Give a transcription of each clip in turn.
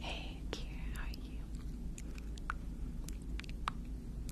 Hey, how are you?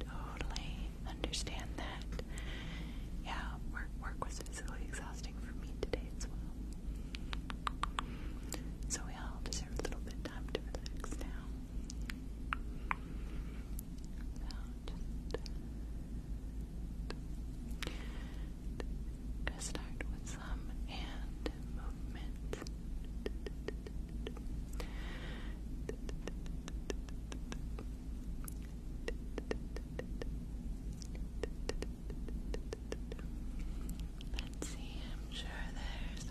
totally understand that. Yeah, work work was physically exhausting for me today as well. So we all deserve a little bit of time to relax now. So just gonna start with some hand movement. Let's see, I'm sure there's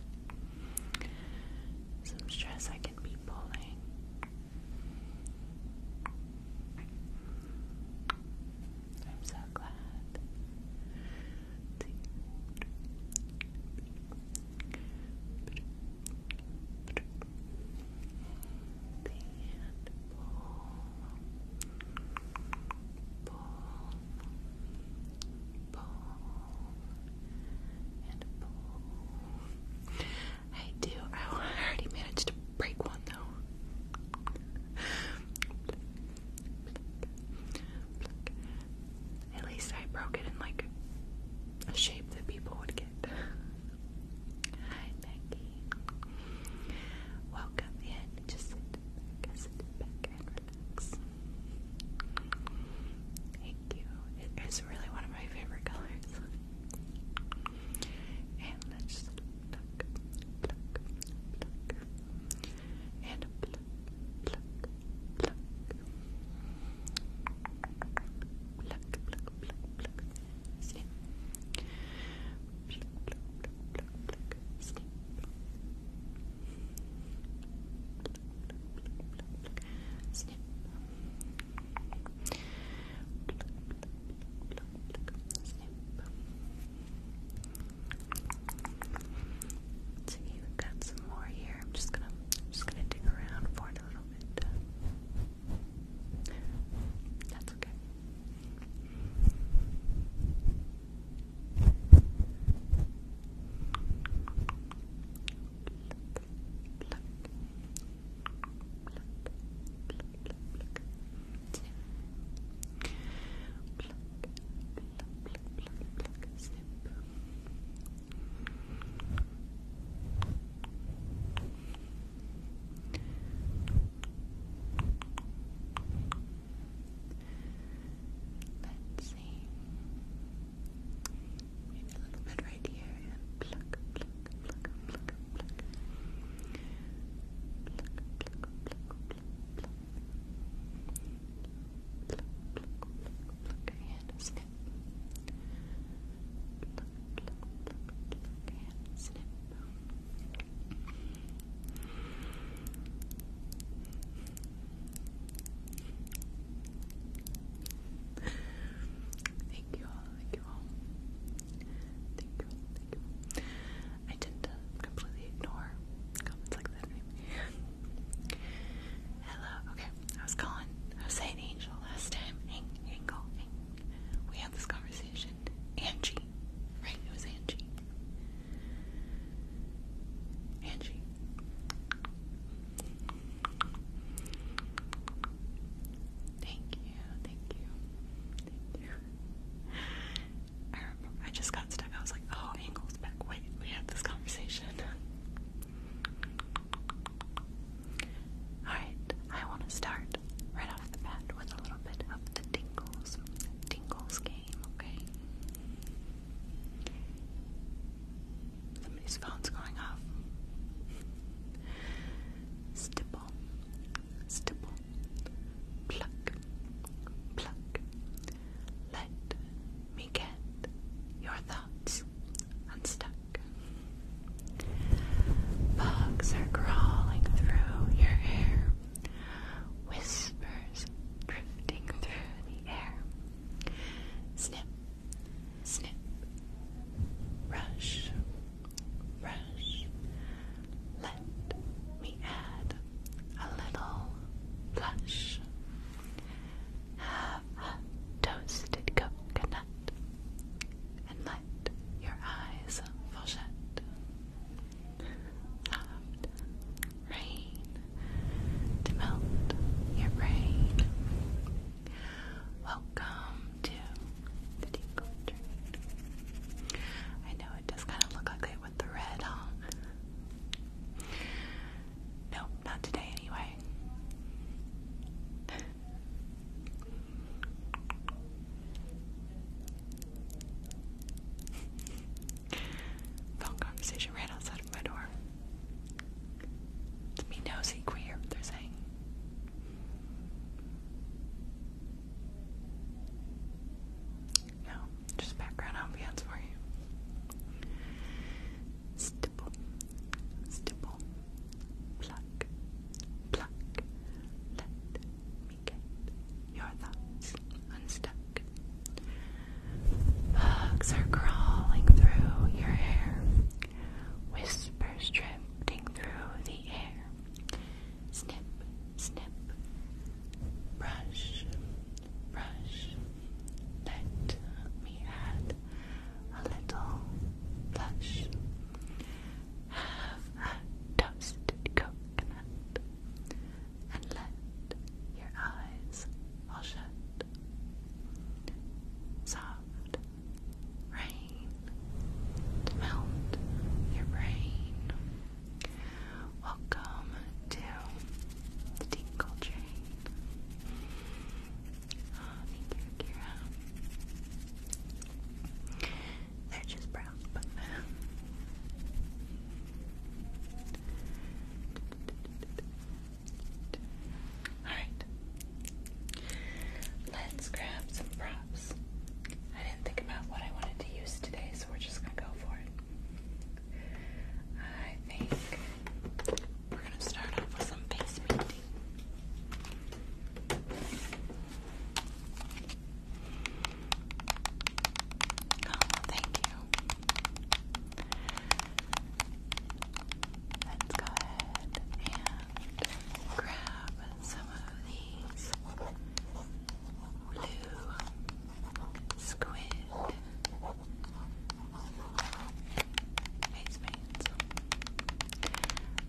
some stress I can be pulling. I'm so glad. I do. I already managed to break one though. At least I broke it in like shape that people would get. Hi, Becky. Welcome in. Just sit sit back and relax. Thank you. It is really one of my favorite colors. And let's just pluck, pluck, pluck, and pluck, pluck, pluck, pluck, pluck, pluck, snip. Pluck, pluck, pluck, pluck, pluck, snip. Pluck, pluck, pluck, pluck, pluck, snip. Pluck, pluck, pluck, pluck, pluck, snip. So you got some more here. I'm just gonna, I'm just gonna dig around for out a That's okay. Let's see. a little bit right here and pluck, pluck, pluck, pluck, pluck. Pluck, pluck, pluck, pluck, pluck. Pluck, pluck, pluck, pluck. Your hand is thank you all, thank you all. I tend uh, completely ignore comments like that Hello, okay. I was calling, I was saying Angel last time. Ang, We had this conversation. Angie, right? It was Angie. Angie. Thank you, thank you, thank you. I just got stuck. I was like, oh, Angle's back. Wait, we had this conversation. Alright, I want to start right off the bat with a little bit of the tingles, tingles game, okay? Somebody's phone's going off. Stipple, stipple, pluck, pluck. Let me get your thoughts gets unstuck. Bugs are crawling through your hair, whispers drifting through the air. Snip, snip, brush, brush. Let me add a little blush. Have toasted coconut and let your eyes fall shut. Soft rain to melt your brain. Welcome to the deep I know it does kind of look ugly with the red, huh? No, not today anyway conversation right outside of my door. To me, nosy queer, they're saying. No, just background ambiance for you stipple, stipple, pluck, pluck. Let me get your thoughts unstuck. Bugs are crawling through your hair, whispers drifting through the air. Snip, snip, brush, brush. Let me add a little blush. Have a toasted coconut and let your eyes all shut. Soft rain to melt your brain. Welcome to the Tinkle Train. They're just brown, Alright. Let's grab some props. I didn't think about what I wanted to use today, so we're just gonna go for it. I think we're gonna start off with some face painting. Oh, thank you. Let's go ahead and grab some of these blue squid.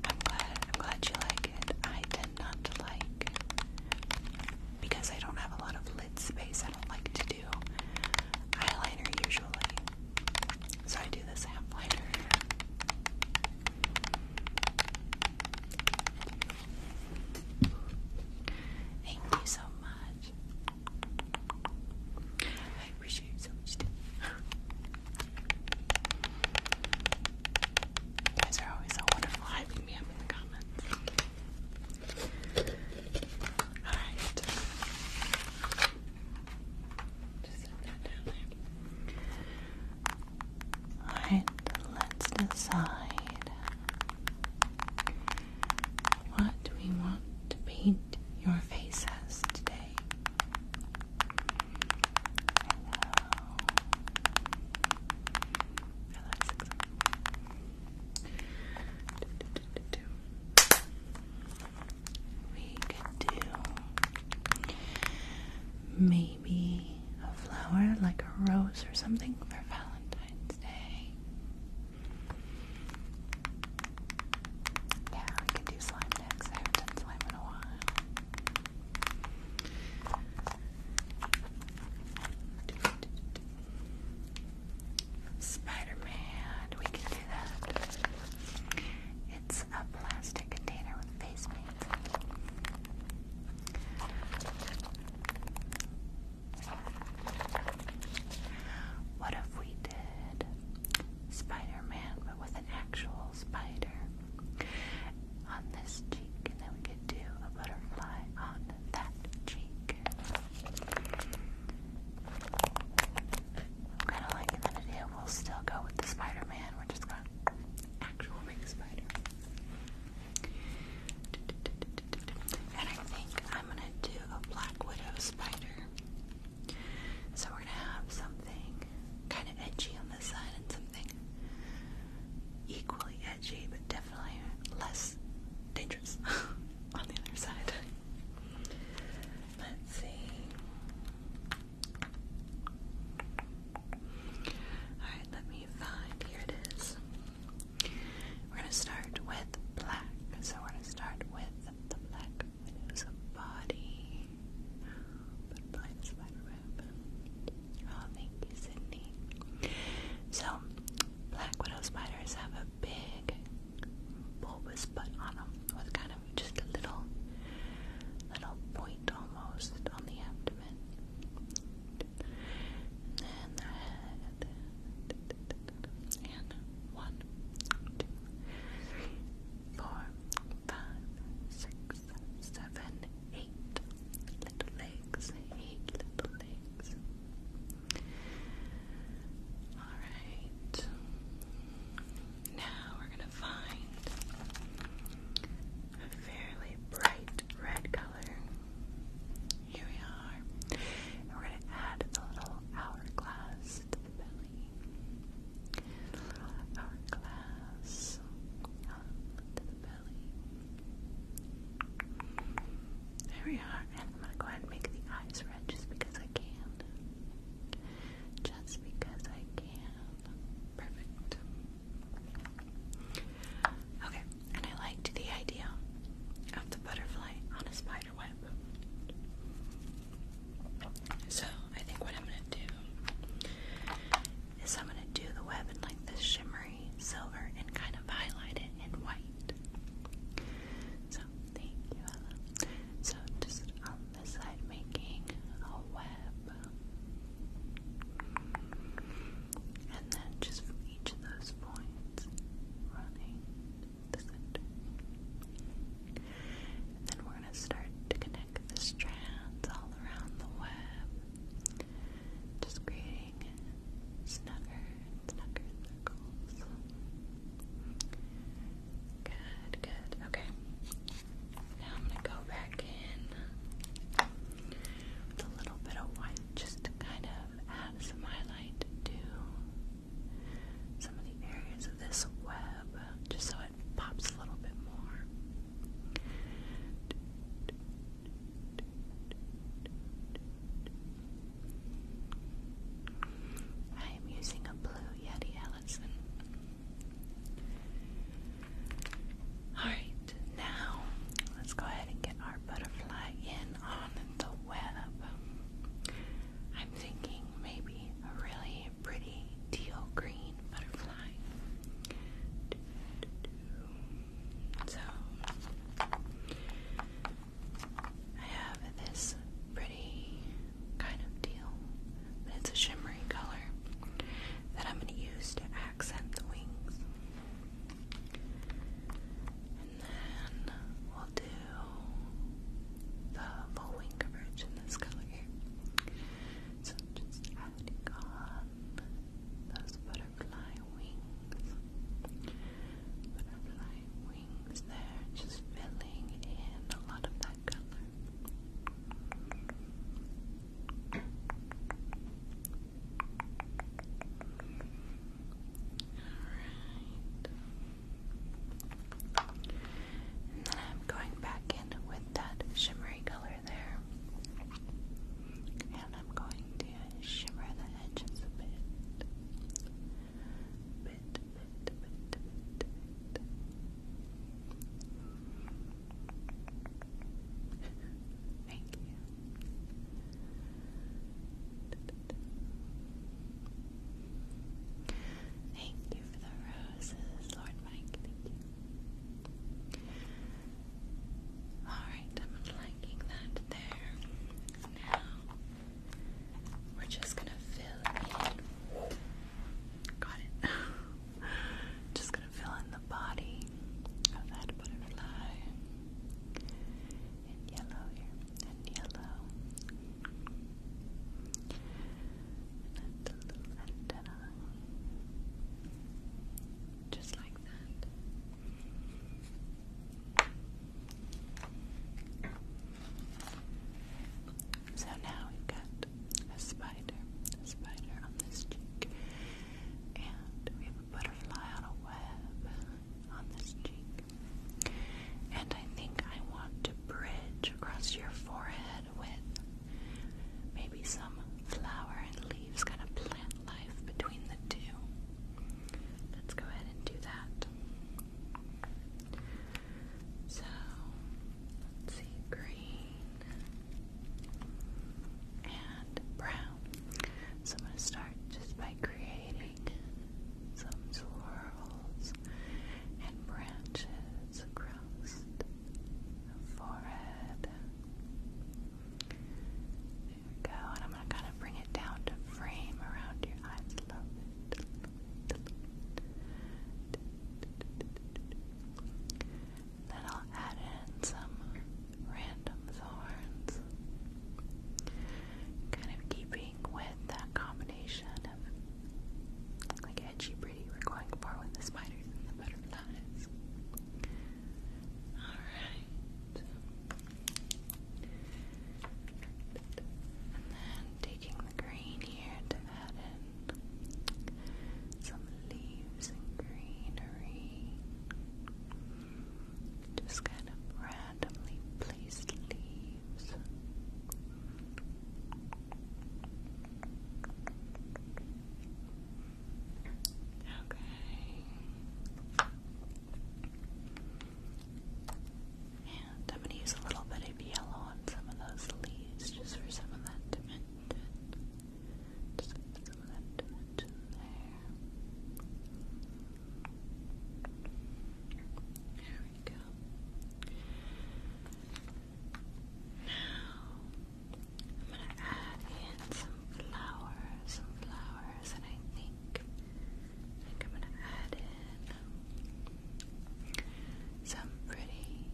I'm glad I'm glad you like it. I tend not to like because I don't have a lot of lid space. I don't like to do eyeliner usually. So I do this half liner. Thank you so much. I appreciate you guys are always so wonderful. Hi, me up in the comments. Alright. Alright, let's decide what we want to paint your faces today. We could do maybe a flower like a rose or something for Valentine's Day. Yeah, we can do slime next. I haven't done slime in a while. spider we can do that. It's a plastic container with face paint. What if we did Spider-Man, but with an actual spider on this cheek, and then we could do a butterfly on that cheek. Kind of like in idea, we'll still go with the Spider-Man. We're just going to actual big spider. And I think I'm gonna do a Black Widow spider. So we're gonna have something kind of edgy on this side and something equally edgy, but definitely less dangerous on the other side. Let's see. Alright, let me find. Here it is. We're going to start with black. So we're going to start with the black Medusa body. Oh, thank you, Sydney. So, black widow spiders have a big bulbous butt on them with kind of just a little, little point almost on the abdomen. And the head. And one, two, three, four, five, six, seven, eight little legs, eight little legs. Alright. Now we're gonna find a fairly bright red color. Here we are. we're gonna add a little hourglass belly. Our glass to the belly. There we are. And I'm going to go ahead and make the eyes red just because I can. Just because I can. Perfect. Okay, and I liked the idea of the butterfly on a spider web. So I think what I'm gonna do is I'm gonna do the web in like this shimmery silver and kind of highlight it in white. So thank you, Ella. So just on the side, making a web, and then just from each of those points, running the center. And then we're going to start to connect the strands all around the web. Just creating snugger and circles. Good, good. Okay. Now I'm going to go back in with a little bit of white just to kind of add some highlight to some of the areas this web just so it pops a little bit more. I am using a blue Yeti Ellison. Alright, now let's go ahead and get our butterfly in on the web. I'm thinking maybe a really pretty teal green butterfly. So, I have this pretty kind of teal, it's a shimmery color that I'm going to use to accent the wings. And then we'll do the full wing coverage in this color so i just adding on those butterfly wings. Butterfly wings there, just filling in a lot of that color. Alright going back in with that shimmery color there. And I'm going to shimmer the edges a bit. Thank you. Thank you for the roses, Lord Mike. Thank you. Alright, I'm liking that there. Now, we're just gonna fill in. Got it. just gonna fill in the body of that butterfly. In yellow here. In yellow. And that's a little just like that. So now we got a spider, spider on this cheek, and we have a butterfly on a web on this cheek. And I think I want to bridge across your forehead with maybe some flower and leaves, kind of plant life between the two. Let's go ahead and do that. So, let's see, green and brown. So, I'm going to start just by creating some swirls and branches across forehead. There we go. And I'm going to kind of bring it down to frame around your eyes a little Then I'll add in some random thorns. Kind of keeping with that combination of like edgy pretty. We're going for with the spiders butterflies. Alright. And then taking the green here to add in some leaves and greenery. Just kind of randomly placed leaves. Okay. And I'm going to use a little bit of yellow on some of those leaves just for some of that dimension. Just put some of that dimension there. There we go. Now, I'm gonna add in some flowers, some flowers, and I think, I am gonna add in some pretty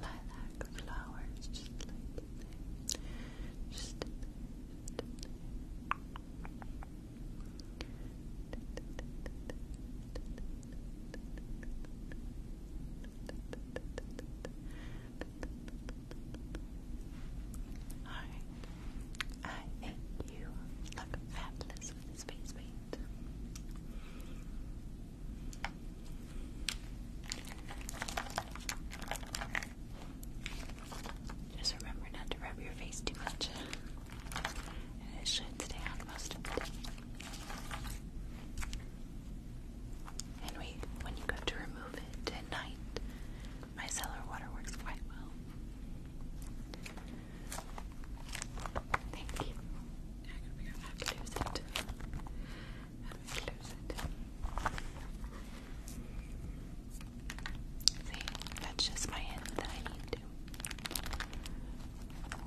lilac flowers, just like that. Just like that. Just Alright. I think you look fabulous with this paint. Just remember not to rub your face too much. it should stay on most of the day. And we, when you go to remove it at night, micellar water works quite well. Thank you. I can figure out how to close it. How do I it? See, that's just my hand that I need to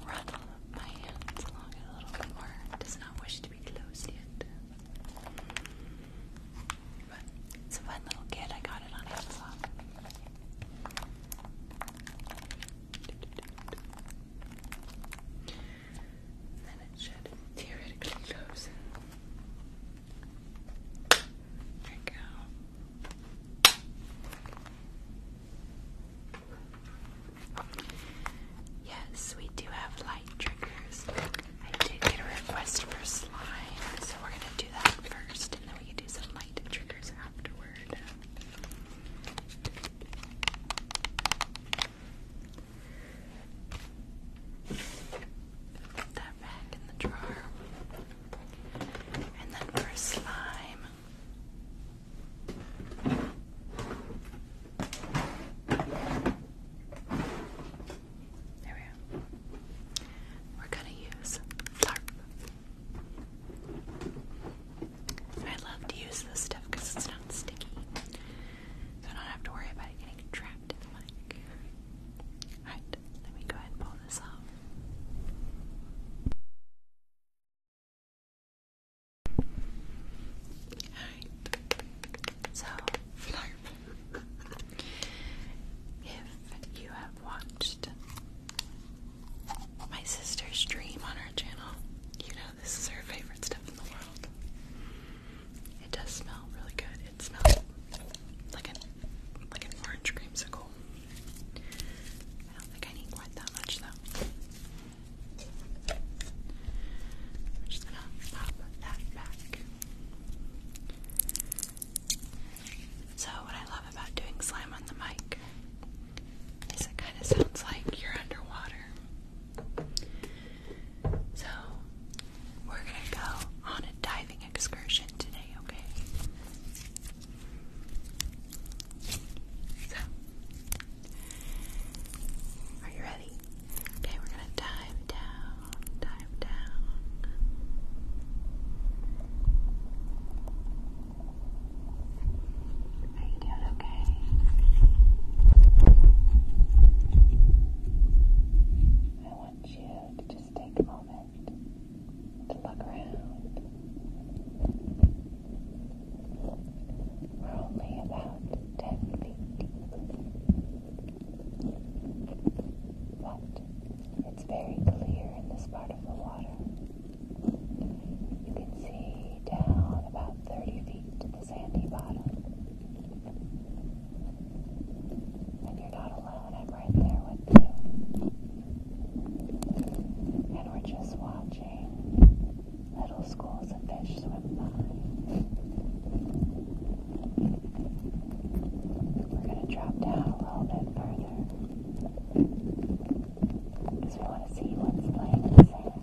run my hands along it a little bit more. Does not wish to it's a fun little kit. I got it on Amazon. Then it should theoretically close. There we go. Yes, we do have light triggers. I did get a request for slime, so we're gonna do that first, and then we can do some light triggers afterward. Put that back in the drawer. And then for slime, there we are. We're gonna use LARP. I love to use this stuff because it's not sticky. So I don't have to worry about it getting trapped in the mic. Alright, let me go ahead and pull this off. So, if you have watched my sister's stream on our channel, you know this is her favorite stuff in the world. It does smell really good. It smells like an like an orange creamsicle. I don't think I need quite that much though. So what I love about doing slime on the mic is it kind of sounds like you're underwater. So we're gonna go on a diving excursion today, okay? So, are you ready? Okay, we're gonna dive down, dive down. Are you doing okay? I want you to just take a moment to look around. We're only about ten feet deep. But it's very clear in this part of the water. You can see down about 30 feet to the sandy bottom. And you're not alone, I'm right there with you. And we're just watching little schools of fish swim by. We're going to drop down a little bit further we want to see what's laying in the sand.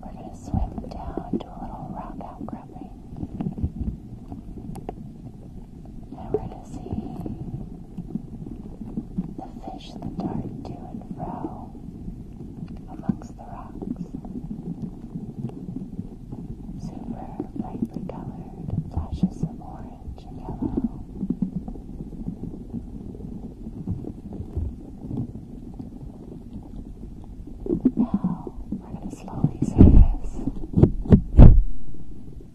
We're going to swim down to a little rock outcropping. Now we to see the fish that dart to and fro amongst the rocks. Super brightly colored flashes of orange and yellow. Now we're going to slowly surface Okay,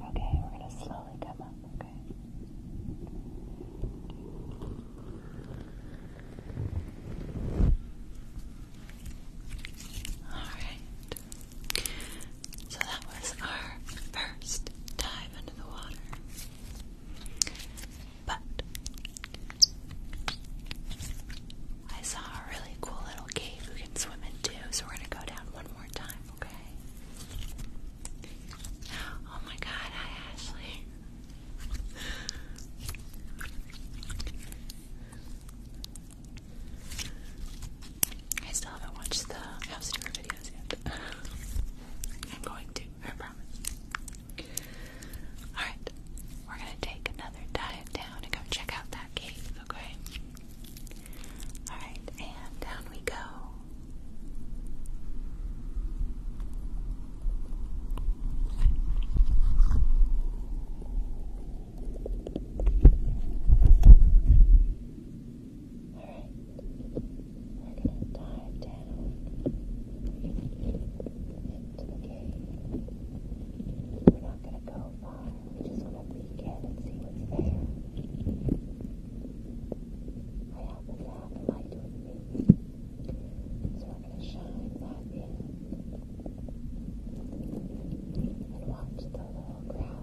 we're going to slowly come up, okay? Alright. So that was our first dive into the water. But I saw a really cool little cave We can swim in too, so we're gonna go down one more time, okay? Oh my god, hi Ashley. I still haven't watched the house tour videos yet. I'm going to, I promise. Alright, we're gonna take another dive down and go check out that cave okay? Alright, and down we go. Alright, we're gonna dive down into the cave. We're not gonna go far. We're just gonna peek in and see what's there. I have the light with me. So we're gonna shine that in. And watch the little crabs scuttle along the wall.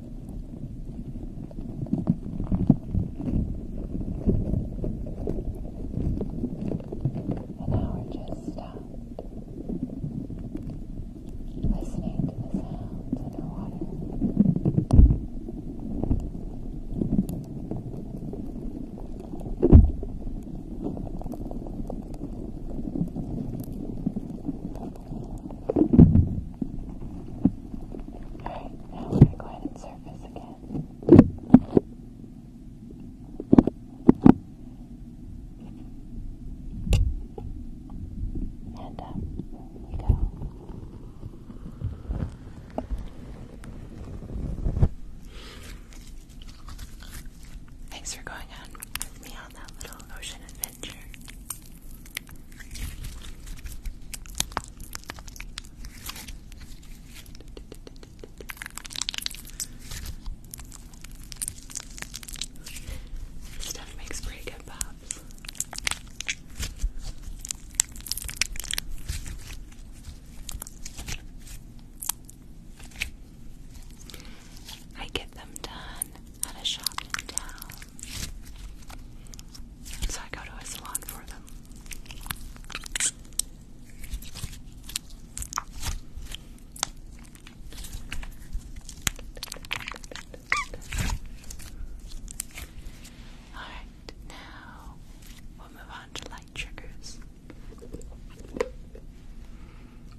And now we're just stopped listening to the sounds underwater. Alright, now I'm going to surface again. And we go. Thanks for going on with me on that little ocean adventure stuff makes pretty good pops. I get them done at a shop in town. So I go to a salon for them. Alright, now we'll move on to light triggers. I'm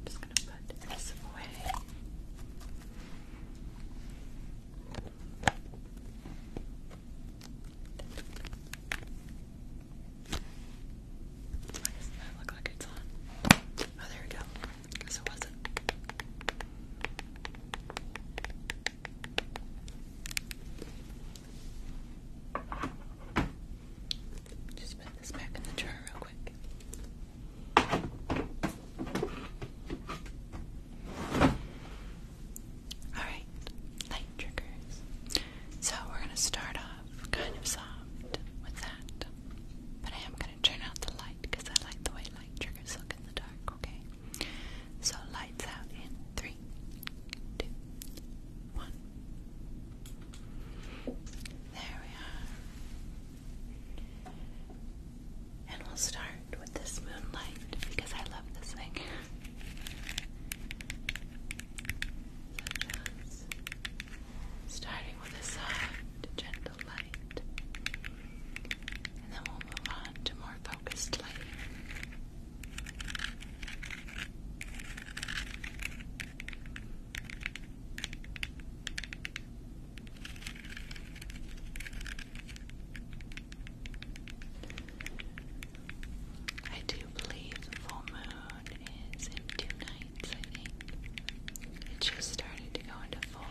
just going to put this away. Why does that look like it's on? Oh, there we go. Guess wasn't. Just put this back in the jar real quick. Alright, light triggers. So we're going to start off kind of soft with that. But I am going to turn out the light because I like the way light triggers look in the dark, okay? So lights out in three, two, one. There we are. And we'll start with this moonlight because I love this thing. starting with a soft, gentle light. And then we'll move on to more focused lighting. I do believe the full moon is in two nights, I think. It just started to go into full.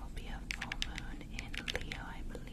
will be a full moon in Leo, I believe.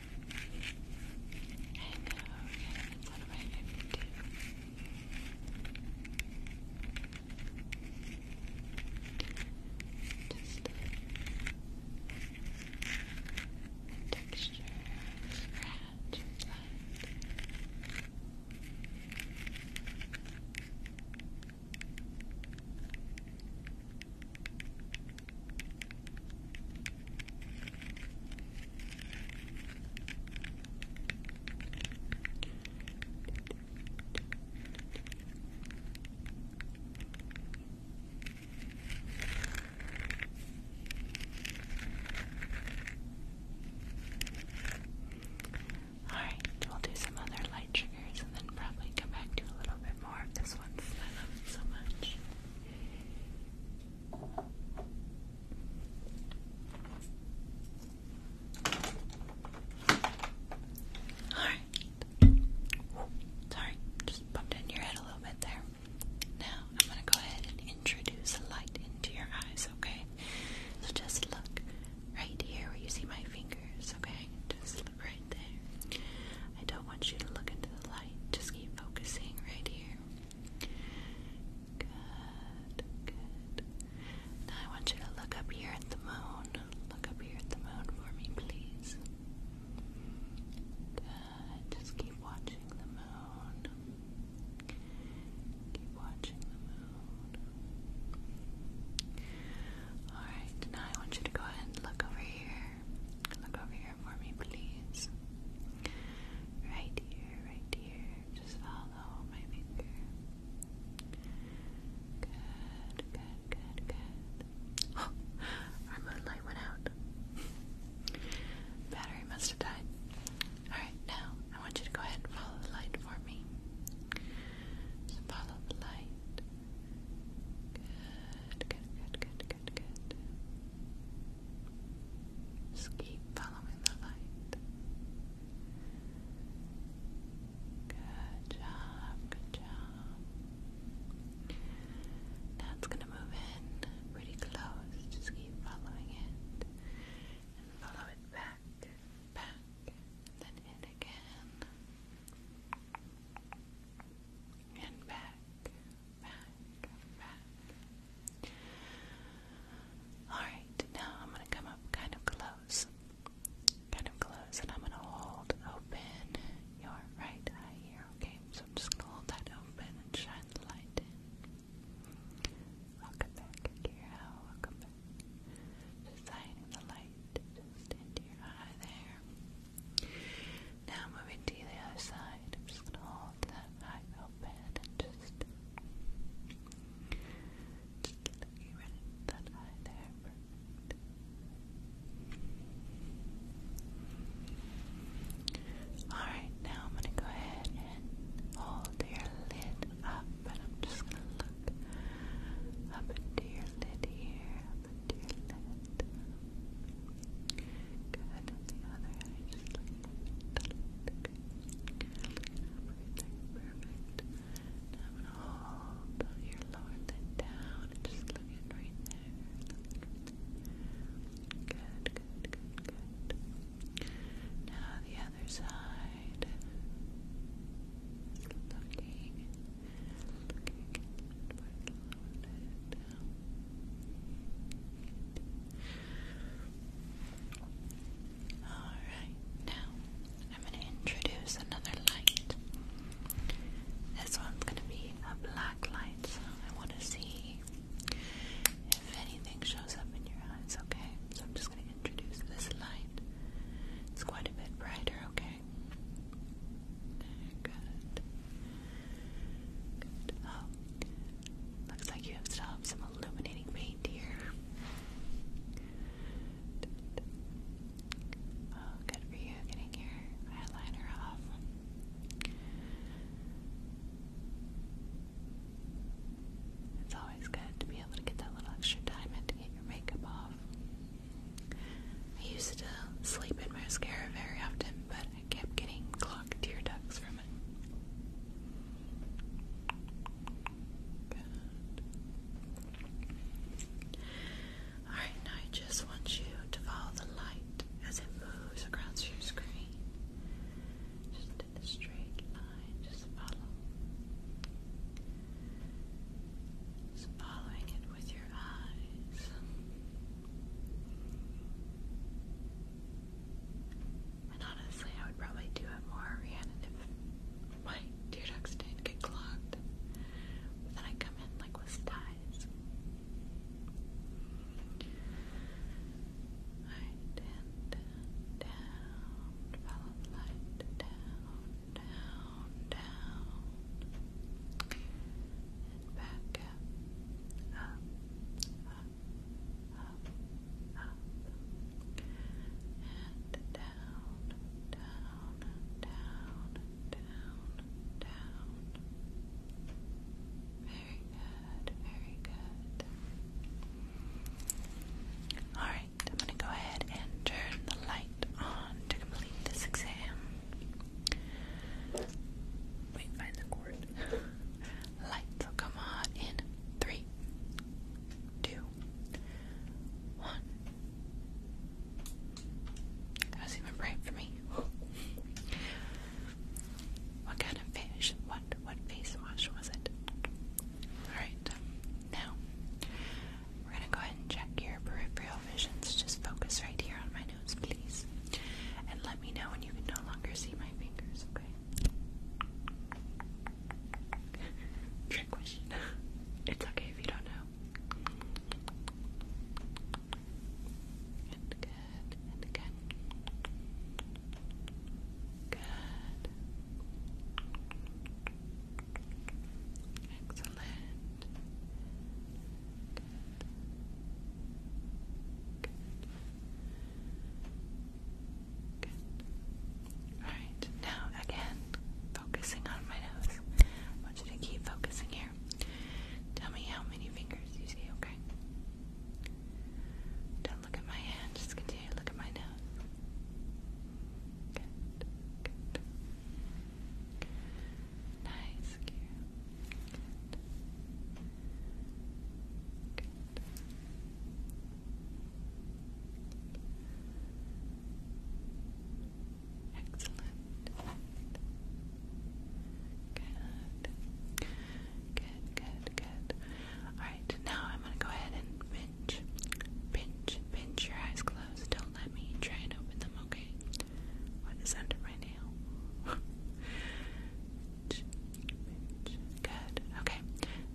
I know, yeah, that's one of my favorite Just the, texture Alright, we'll do some other light triggers and then probably come back to a little bit more of this one I love it so much. Alright. Sorry, just bumped in your head a little bit there. Now, I'm going to go ahead and introduce light into your eyes, okay? So just look right here where you see my fingers, okay? Just right there. I don't want you to look into the light. Just keep focusing right here. Good, good. Now I want you to look up here at the moon. Look up here at the moon for me, please. Good. Just keep watching the moon. Keep watching the moon. Alright, now I want you to go ahead and look over here. Look over here for me, please? Right here, right here. Just follow my finger. Good, good, good, good. Oh, our moonlight went out. Battery must have died. Alright, now I want you to go ahead and follow the light for me. follow the light. Good, good, good, good, good, Just keep following the light. Good job, good job. Now gonna move in pretty close. Just keep following it follow it back, back, then in again. And back, Alright, now I'm going to come up kind of close. Kind of close, and I'm going to hold open your right eye here, okay? So I'm just going to hold that open and shine the light in. Welcome back, Akira. Welcome back. Just shining the light into your eye there. Now moving to the other side side. i just gonna hold that eye open and just just that eye there. Alright, now I'm gonna go ahead and hold your lid up and I'm just gonna look up into your lid here, up into your lid. Good. The other eye, just like that. Perfect. Now I'm gonna hold your lower lid down and just look in right there. Look in right there. Good, good, good, good. Now the other side. Looking, looking, lower lid down. Good. Alright, now I'm going to introduce another light. This one's going to be a black light, I want to see if anything shows up in your eyes, okay? So I'm just going to introduce this light. It's quite a bit brighter, okay? Good. Good. Oh, Looks like you have some illuminating paint here. Oh, good for you getting your eyeliner off. It's always good to be able to get that little extra time in to get your makeup off. I used to sleep in mascara very often, but I kept getting clogged tear ducts from Alright, now I just want you to follow the light as it moves across your screen. Just in a straight line, just follow. Just following it with your eyes. And honestly, I would probably do it more Rhiannon if my tear didn't get clogged. then I come in like with ties. Alright, and down, follow the light, down, down, down, and back up, up, up, up, and down, down, down, down, down. Very good, very good. Alright, I'm going to go ahead and turn the light on to complete this exam. Wait, find the cord. Lights will oh, come on in three, two, one. That was even right for me. what kind of fish? What what face wash was it? Alright, now we're gonna go ahead and check your peripheral visions. Just focus right here on my nose, please. And let me know when you can no longer see my fingers, okay? Trick question. It's okay if you don't know. And good, and again. Good. Excellent. Good. Good. Alright, now again, focusing on my nose. I want you to keep focusing here. Tell me how many fingers you see, okay? Don't look at my hand, just continue to at my nose. Good, good. Nice, Kira. Good. Good. Good, good, good. Alright, now I'm gonna go ahead and pinch, pinch, pinch your eyes closed. Don't let me try and open them, okay? What is under my nail? Good. Okay.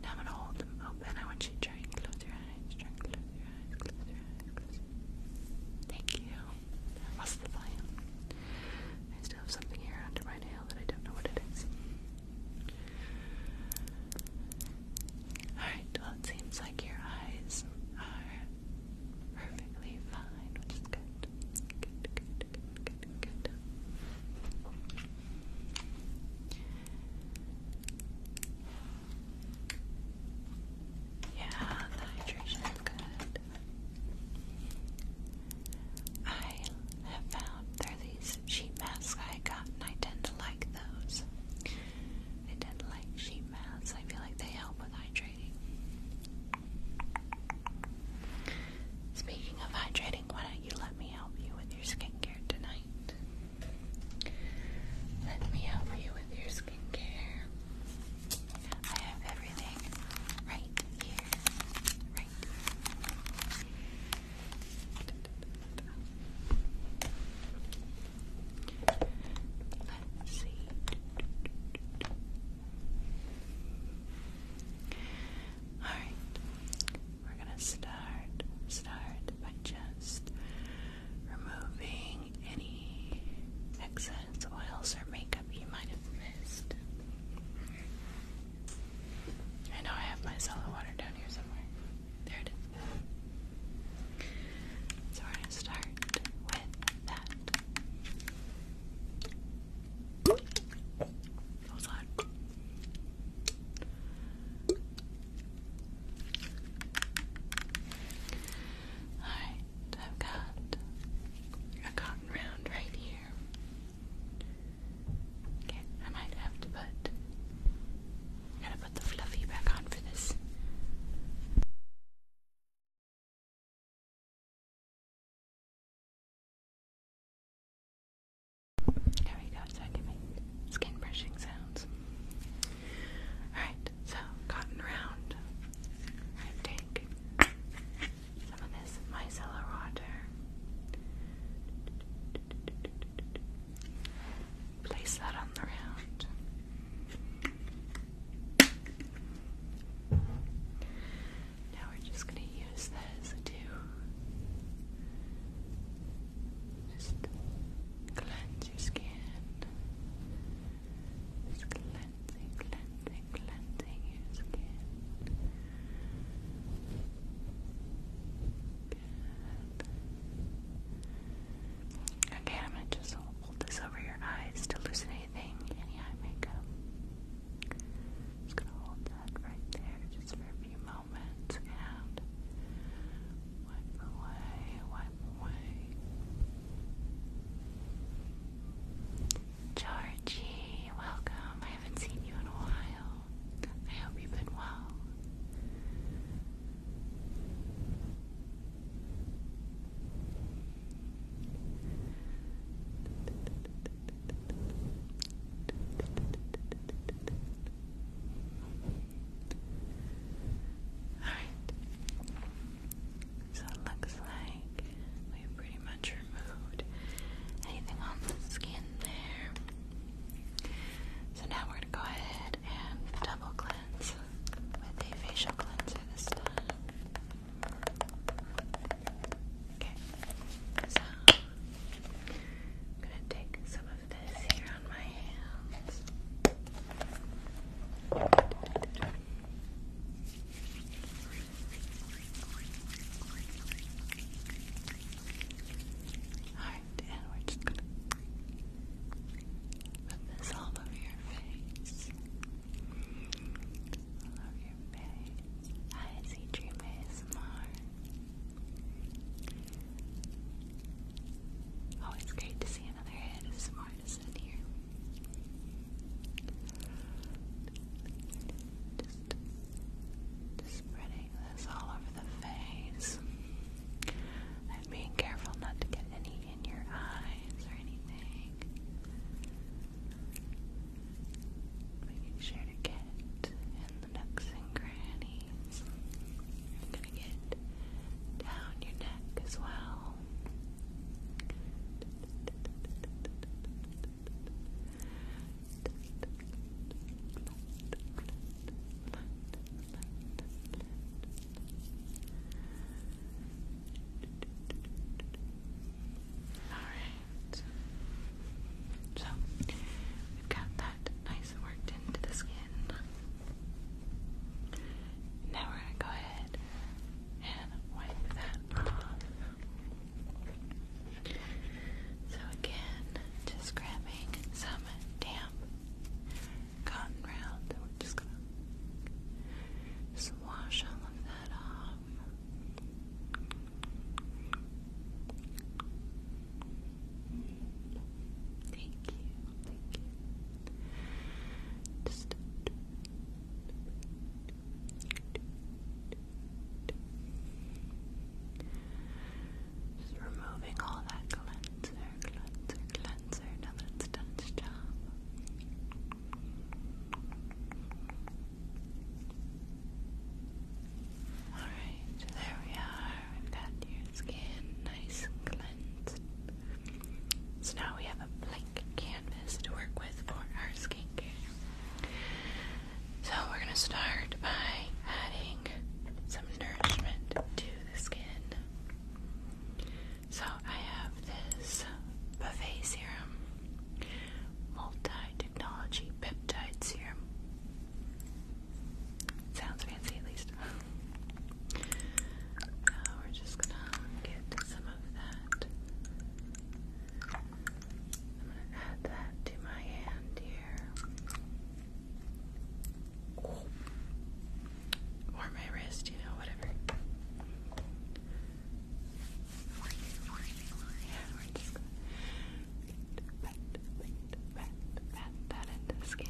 Now I'm gonna hold them open. I want you to try and close your eyes. Try and close your eyes. Close your eyes. Close. Thank you. That the plan. I still have something here under my nail that I don't know what it is. Alright, well it seems like your eyes are perfectly fine, which is good. Good, good, yeah, the hydration is good. I have found there are these sheet masks I got, and I tend to like those. I tend to like sheet masks. I feel like they help with hydrating. Speaking of hydrating, when you let me help you with your skincare tonight. Let me help you with your skincare. I have everything right here. Right. Let's see. Alright. We're gonna start start by just removing any excess oils or makeup you might have missed. I know I have my cellar water down here somewhere. There it is. So we're gonna start with that. That was Alright, I've got a cotton round right here. I might have to put gotta put the fluffy back on for this. There we go, so I can make skin brushing sounds. Alright, so cotton round. I take some of this micellar water. Place that on the round. Now we're just going to use this to just cleanse your skin. cleansing, cleansing, cleansing your skin. Okay, I'm going to just hold this over your eyes to loosen anything, any eye makeup. Just gonna hold that right there just for a few moments moments Georgie, welcome. I haven't seen you in a while. I hope you've been well. Alright. So it looks like we've pretty much removed anything on the skin there. So now we're gonna go ahead and double cleanse with a facial cleanser this time. Okay. So I'm gonna take some of this here on my hands. Alright, and we're just gonna put this all over your face. All over your face. I see dream ASMR. Oh, it's great to see another head as smart as in here. Just, spreading this all over the face. And being careful not to get any in your eyes or anything. Making sure to get in the nooks and crannies. I'm gonna get down your neck as well. All right. So we got that nice and worked into the skin. Now we're gonna go ahead and wipe that off. So again, just grabbing some damp cotton round, and we're just gonna just wash all of that off. Thank you, thank you. Just removing all that cleanser, cleanser, cleanser now that it's done its job. Alright, there we are. We've got your skin nice and cleansed. So now we have a blank canvas to work with for our skincare. So we're going to start by adding some nourishment to the skin. So I have this buffet serum, multi-technology peptides serum. Sounds fancy, at least. Now we're just gonna get some of that. I'm gonna add that to my hand here. Or my wrist, you know, whatever pat, pat, pat, pat that into the skin.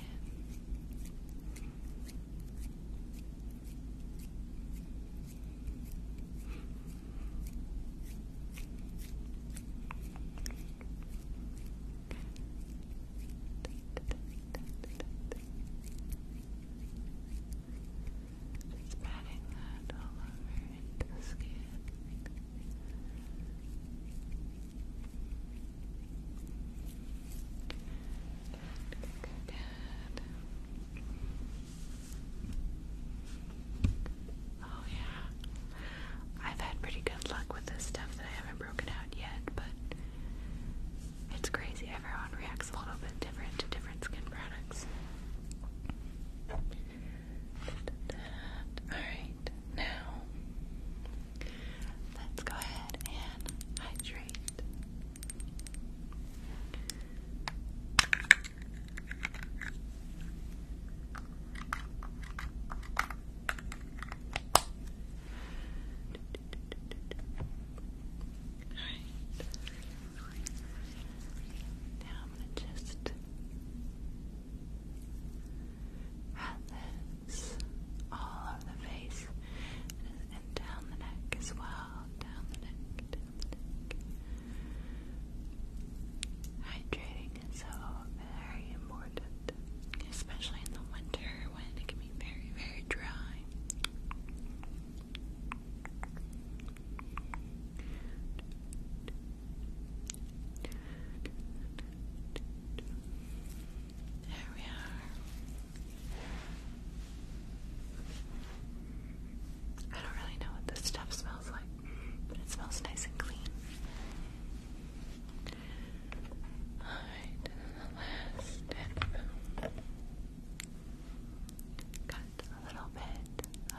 patting that all over into the skin. Oh yeah. I've had pretty good luck with this stuff that I haven't broken out yet, but it's crazy. Everyone reacts a little bit different to different skin products. Alright, now let's go ahead and hydrate. Alright. Now I'm going to just this all over the face and, down the neck as well. Down the neck, Hydrating is so very important, especially in the winter when it can be very, very dry. There we are. I don't really know what this stuff smells like, but it smells nice and clean. Alright, the last tip. Got a little bit of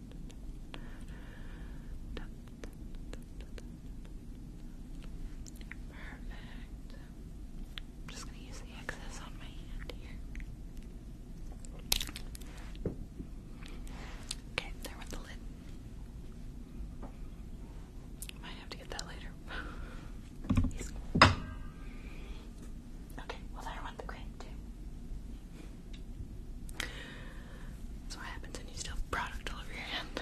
Perfect. I'm just going to use the excess on my hand here. Okay, there went the lid. Might have to get that later. okay, well there went the cream that's what happens when you still product all over your hand.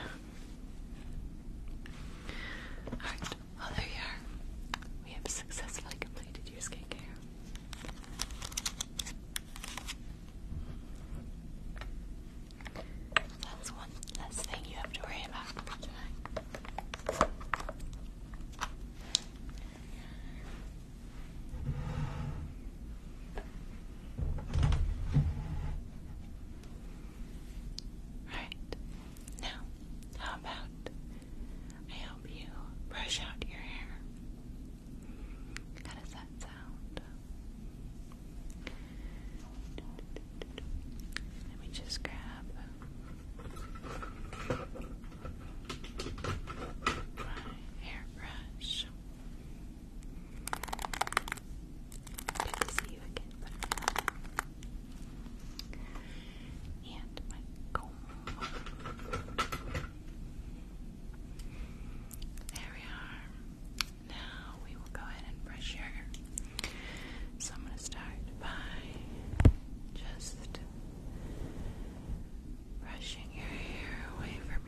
Alright, well there you are. We have successfully completed your skincare. That's one less thing you have to worry about tonight. Right. Now, how about I help you brush out your hair? How does that sound? Let me just grab. My hairbrush. And There we are. Now we will go ahead and brush your hair. So I'm going to start by just brushing your hair away from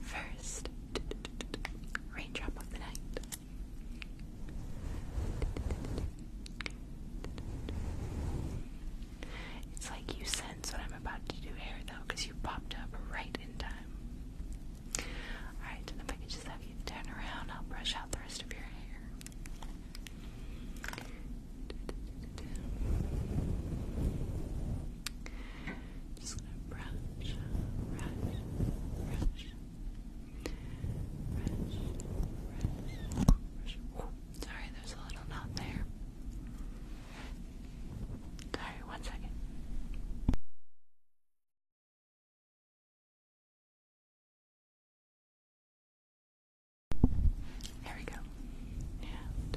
First, raindrop of the night. It's like you sense what I'm about to do hair though, because you popped up right in time. Alright, if I could just have you turn around, I'll brush out the rest of your hair just gonna brush, brush, brush, brush, brush, brush. sorry, there's a little knot there. Sorry, one second. There we go. And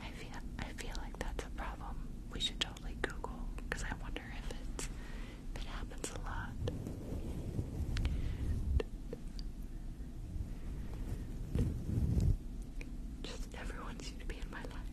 I feel I feel like that's a problem. We should totally Google because I wonder if it's if it happens a lot. Just everyone seems to be in my life.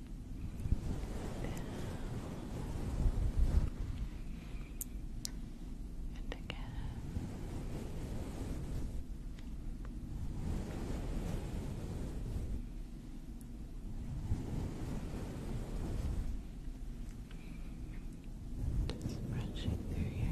and again. Just brushing through your hair.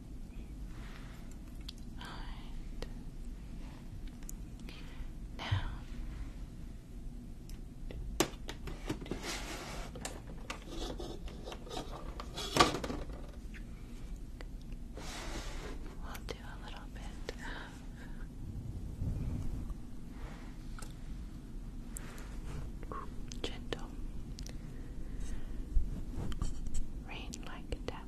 Alright. Now we'll do a little bit of gentle rain like down. Yeah,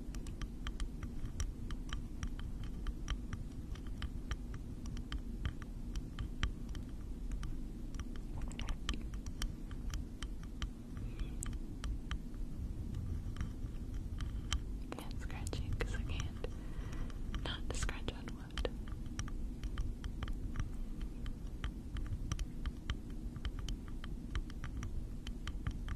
I'm scratching because I can't not scratch on wood.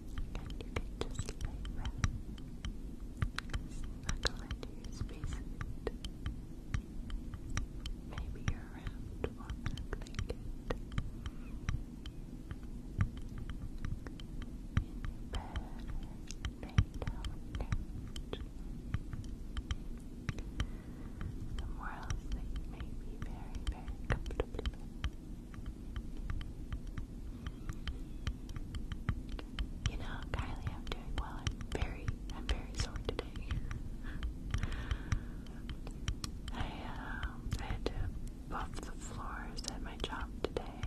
and you can just lay back, snuggle into your spacesuit. Maybe you're wrapped in a blanket. Somewhere else that may be very, very comfortable you know, Kylie, I'm doing well. I'm very, I'm very sore today. Um, I, had to buff the floors at my job today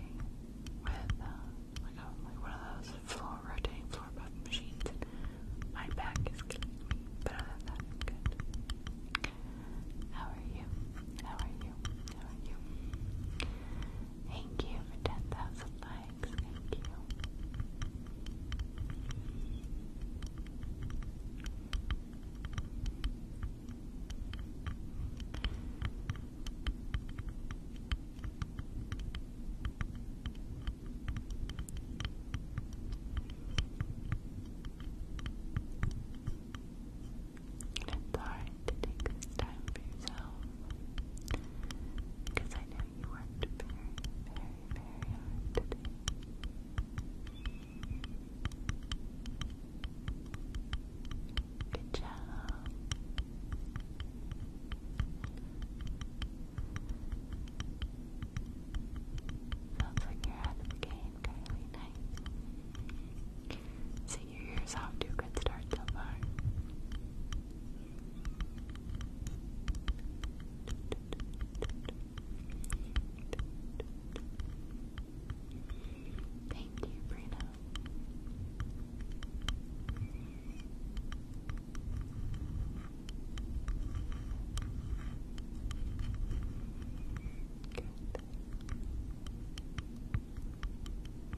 with, uh, like, one of those floor rotating floor buffing machines. My back is killing me, but other than that, good. How are you? How are you? Thank you. for 10,000 likes. Thank you. And to take this time for Because I know you worked very, very, very hard today. Good job. Sounds like you're out of the Nice. So your ears off to a good start so far. Thank you, Brina.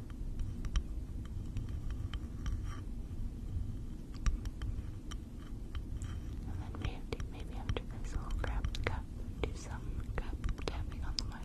And then maybe, maybe after this, I'll grab the cup, do some cup tapping on the mic.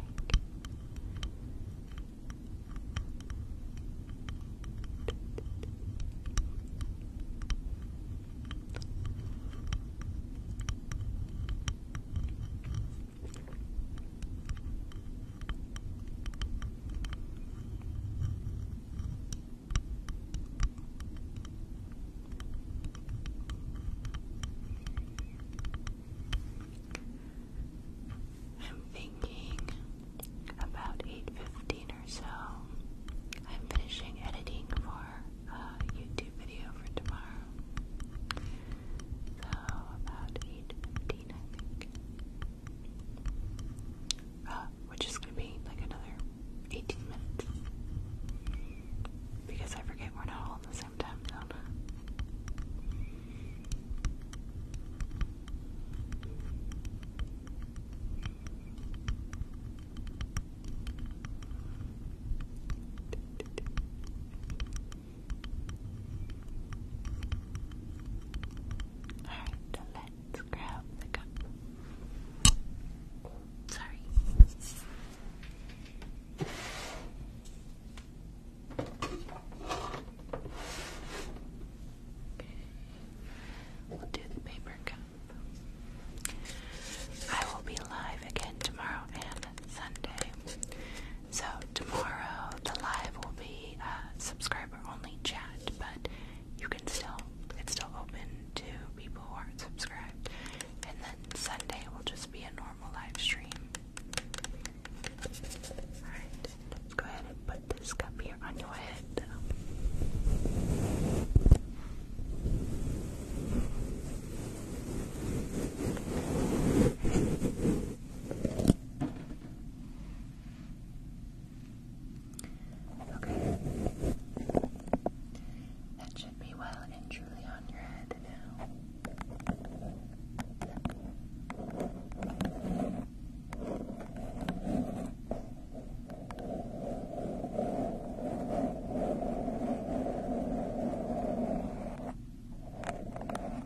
I'm thinking about 8.15 or so. I'm finishing editing for a YouTube video for tomorrow. So about 8.15 I think uh, which is gonna be like another 18 minutes because I forget we're not all in the same time zone. Alright, let's grab the cup. Sorry. We'll do the paper cup. I will be live again tomorrow and Sunday. So tomorrow the live will be a subscriber only chat, but you can still it's still open to people who aren't subscribed. And then Sunday will just be a normal live stream. Alright, go ahead and put this cup here on your head. Okay. That should be well and truly on your head now.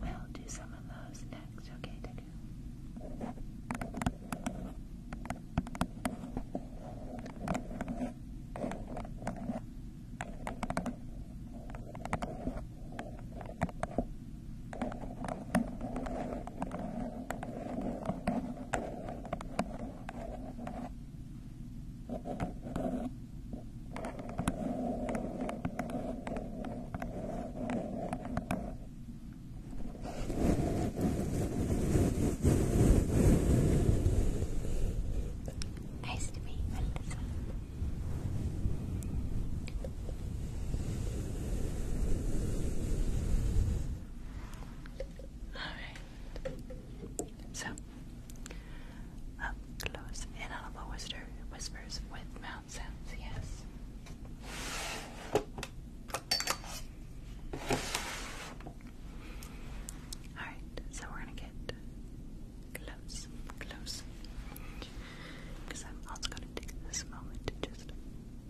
We'll do some of those next, okay, Deku? Okay, Nice to meet you, All right. So up close, inaudible whisper, whispers with mountain sounds, yes. Alright, so we're gonna get close, close. Because I'm also gonna take this moment to just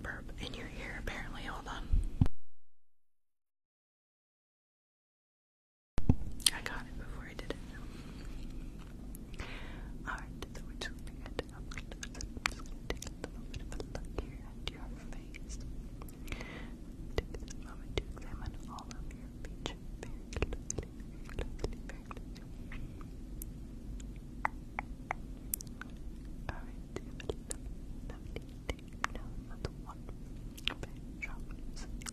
burp in your ear, apparently. Hold on. I got it before I did it. Alright, so we're just gonna take a little bit of a look here at your face. Take this moment to examine all of your features very closely, very closely, very closely. Alright, do you have a lovely, lovely day? No, that's one. Okay, drop it.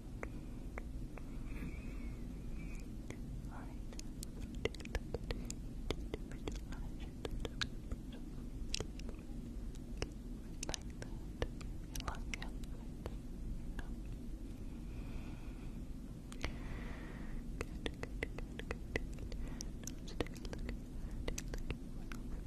Good, good, good, good, good. Now let's take a look. Take a look. Well,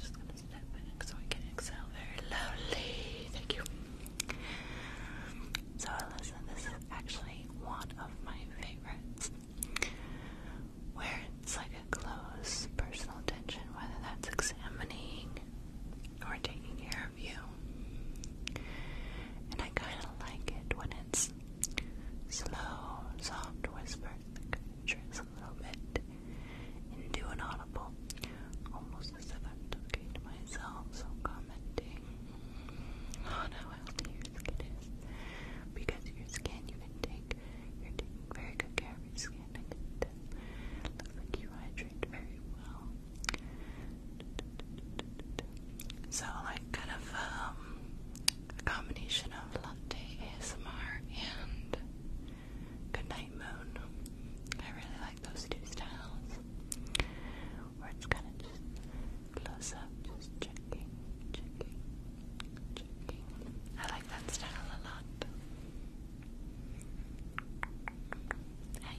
Just gonna step back so I can exhale very loudly. Thank you. So listen, this is actually one of my favorites. Where it's like a close personal attention, whether that's examining or taking care of you. And I kinda like it when it's slow, soft whispers mattress a little bit and do an audible, almost as if I'm talking to myself, so I'm commenting on oh, how your skin Because your skin, you can take, you're taking very good care of your skin, Looks like you hydrate very well. So, like, kind of um, a combination of latte ASMR and Good Night Moon. I really like those two styles. Where it's kind of just close up, just checking, checking, checking. I like that style a lot. I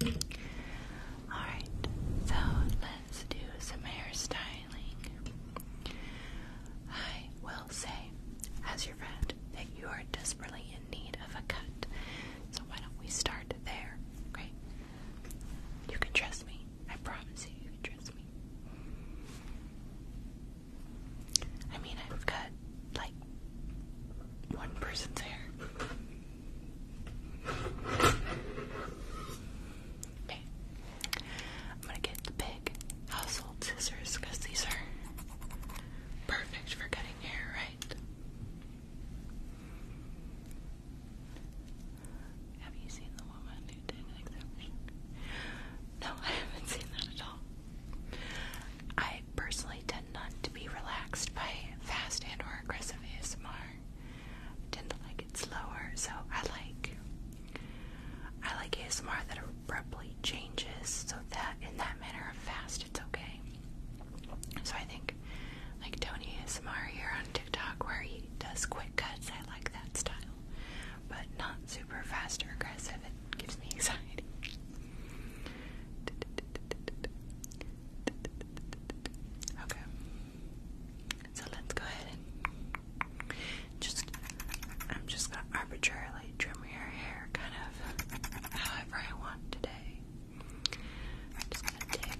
can. Alright, so let's do some hairstyling. I will say, as your friend, that you are desperately in need of a cut. So why don't we start there, okay? You can trust me. I promise you, you can trust me. I mean, I've cut like one person's hair. Okay, I'm gonna get the big household scissors because these are perfect for cutting hair, right? Have you seen the woman who did an exception? No, I haven't seen that at all. I personally tend not to be relaxed by fast and or aggressive ASMR. tend to like it slower, so I like I like ASMR that abruptly changes so that in that manner of fast it's okay. So I think like Tony ASMR here on TikTok where he does quick cuts, I like that style. But not super fast or aggressive, it gives me anxiety. Okay. So let's go ahead and just, I'm just gonna arbitrarily trim your hair kind of however I want today. am just gonna take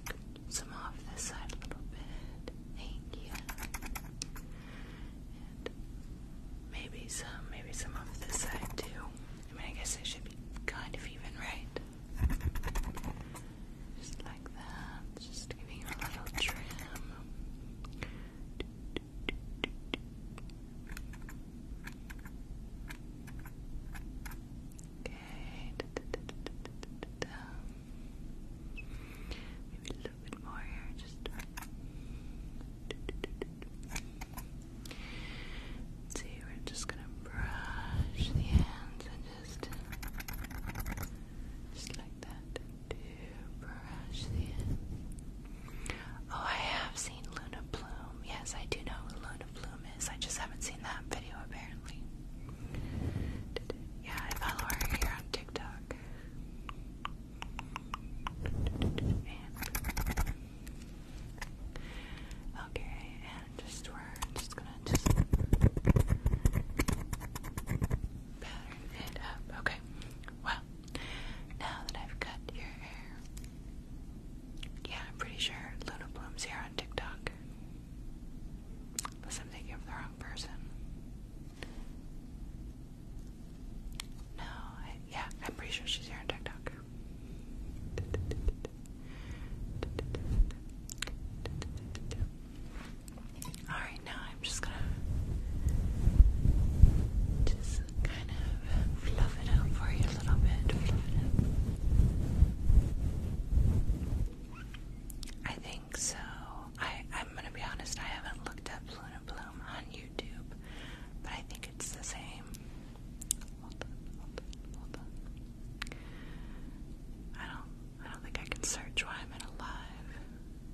some off this side a little bit. Thank maybe some, maybe some off this side too. I mean, I guess it should be kind of even, right? Just like that. Just giving her a little trim. Okay. Maybe a little bit more here. Just see. We're just gonna brush the ends and just. Just like that. Oh, I have seen Luna Bloom. Yes, I do know Luna Bloom is. I just haven't seen that video apparently. Yeah, I follow her here on TikTok. okay, and just we're just gonna just pattern it up. Okay well, now that I've cut your hair, yeah, I'm pretty sure Luna Bloom's here on TikTok. Unless I'm thinking of the wrong person. No, yeah, I'm pretty sure she's here on TikTok. Alright, now I'm just gonna just kind of fluff it up for you a little bit. I think so. I, I'm gonna be honest, I haven't looked up Luna Bloom on YouTube, but I think it's the same. I don't I don't think I can search while I'm alive.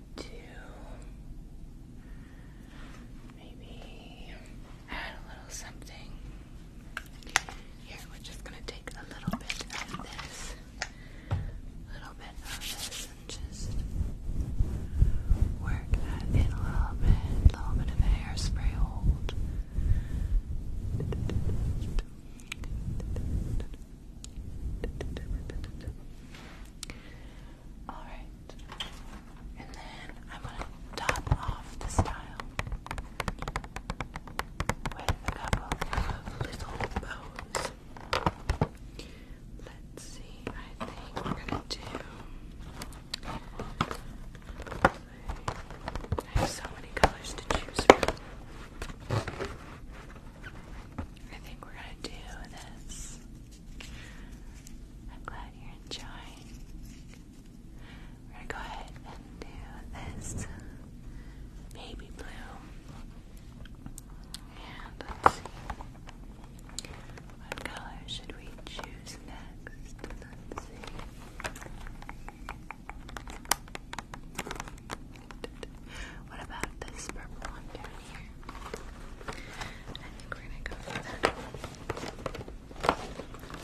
me to maybe add a little something. Here, we're just gonna take a little bit of this, a little bit of this, and just work that in a little bit, a little bit of hairspray hold. Alright. And then I'm gonna top off the style with a couple of little bows. Let's see, I think we're gonna do I have so many colors to choose from. I think we're gonna do this. I'm glad you're enjoying. We're gonna do this baby blue. And let's see. What color should we choose next? What about this purple one down here? I think we're gonna go for that.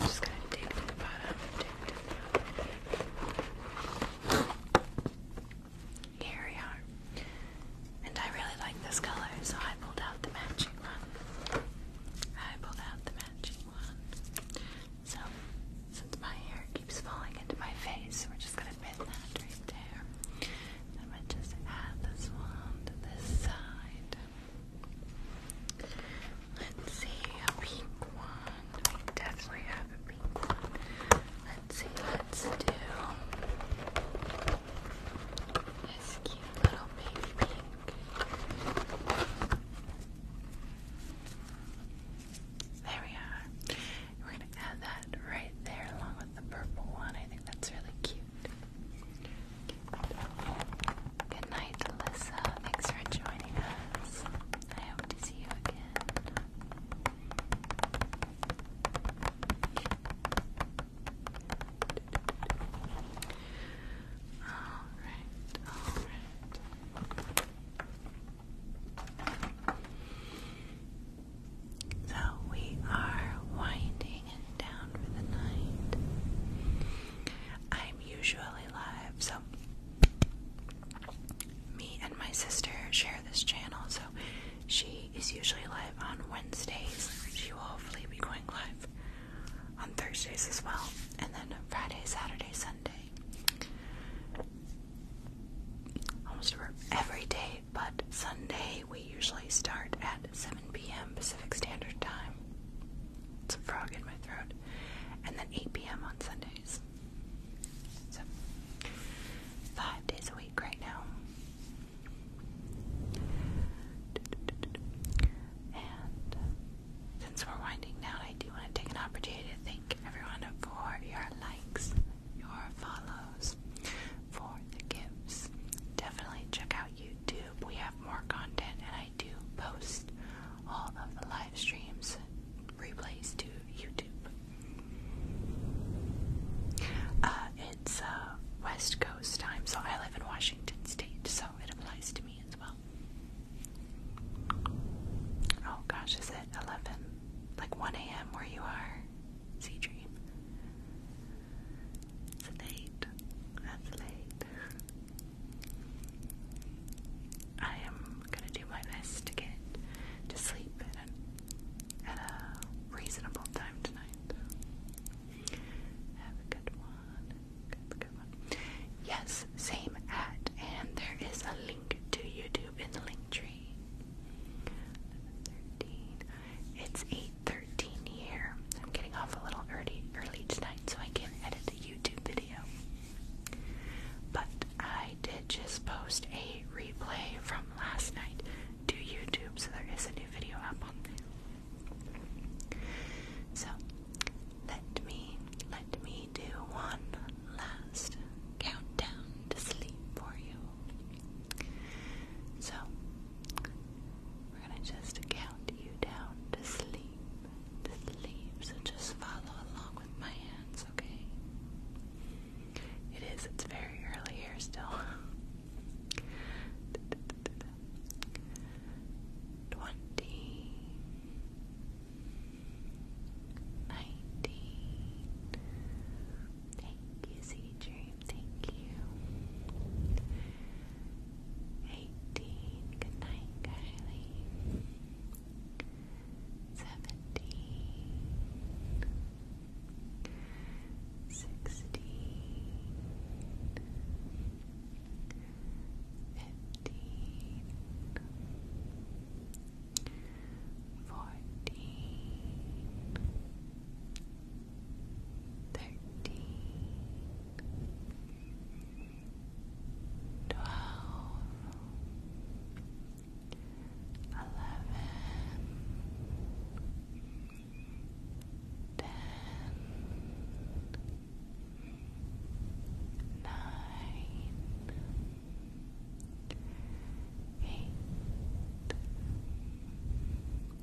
just gonna dig to the bottom. Here we are. And I really like this color, so I pulled out the matching one. I pulled out the matching one. So, since my hair keeps falling into my face, we're just gonna pin that right there. I'm just add this one to this side. Let's see, a pink one. We definitely have a pink one. Let's see, let's do this cute little baby pink. There we are. We're going to add that right there along with the purple one. I think that's really cute. Good night, Alyssa. Thanks for joining us. I to see you again. Alright, alright. So we are winding down for the night. I'm usually live, so me and my sister share this channel, so she is usually live on Wednesdays. She will hopefully be going live on Thursdays as well, and then Friday, Saturday, Sunday. Almost every day but Sunday we usually start at 7 p.m. Pacific Standard Time. It's a frog in my throat. And then 8 p.m. on Sundays. So, five days a week right now. And since we're winding down, I do want to take an opportunity to thank everyone for your likes, your follows for the gifts. Definitely check out YouTube. We have more content, and I do post all of the live streams replays to YouTube. Uh, it's uh, West Coast time, so I live in Washington State, so it applies to me as well. Oh gosh, is it 11? Like 1 a.m. where you are? Sea it's late. That's late. I am gonna do my best to get to sleep at a, reasonable time tonight. Have a good one. Have good one. Yes, same at, and there is a link to YouTube in the link tree. 13. It's 8:13 here. I'm getting off a little early early tonight so I can edit the YouTube video. But I did just post a replay from last night to YouTube, so there is a new video up So let me let me do one last countdown to sleep for you. So we're gonna just count you down to sleep, to sleep. So just follow along with my hands, okay? It is. It's very early here still. Twenty. Thank you, Sea Dream. Thank you. 18. Good night, Kylie. 17. 16. 15. 14 thirteen, twelve, eleven, ten,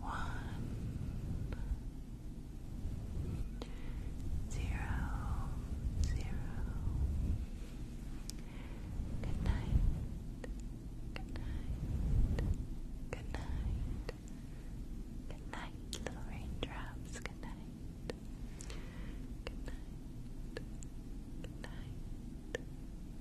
one, zero, zero. Good night, good night, good night, good night, little raindrops, good night, good night, good night.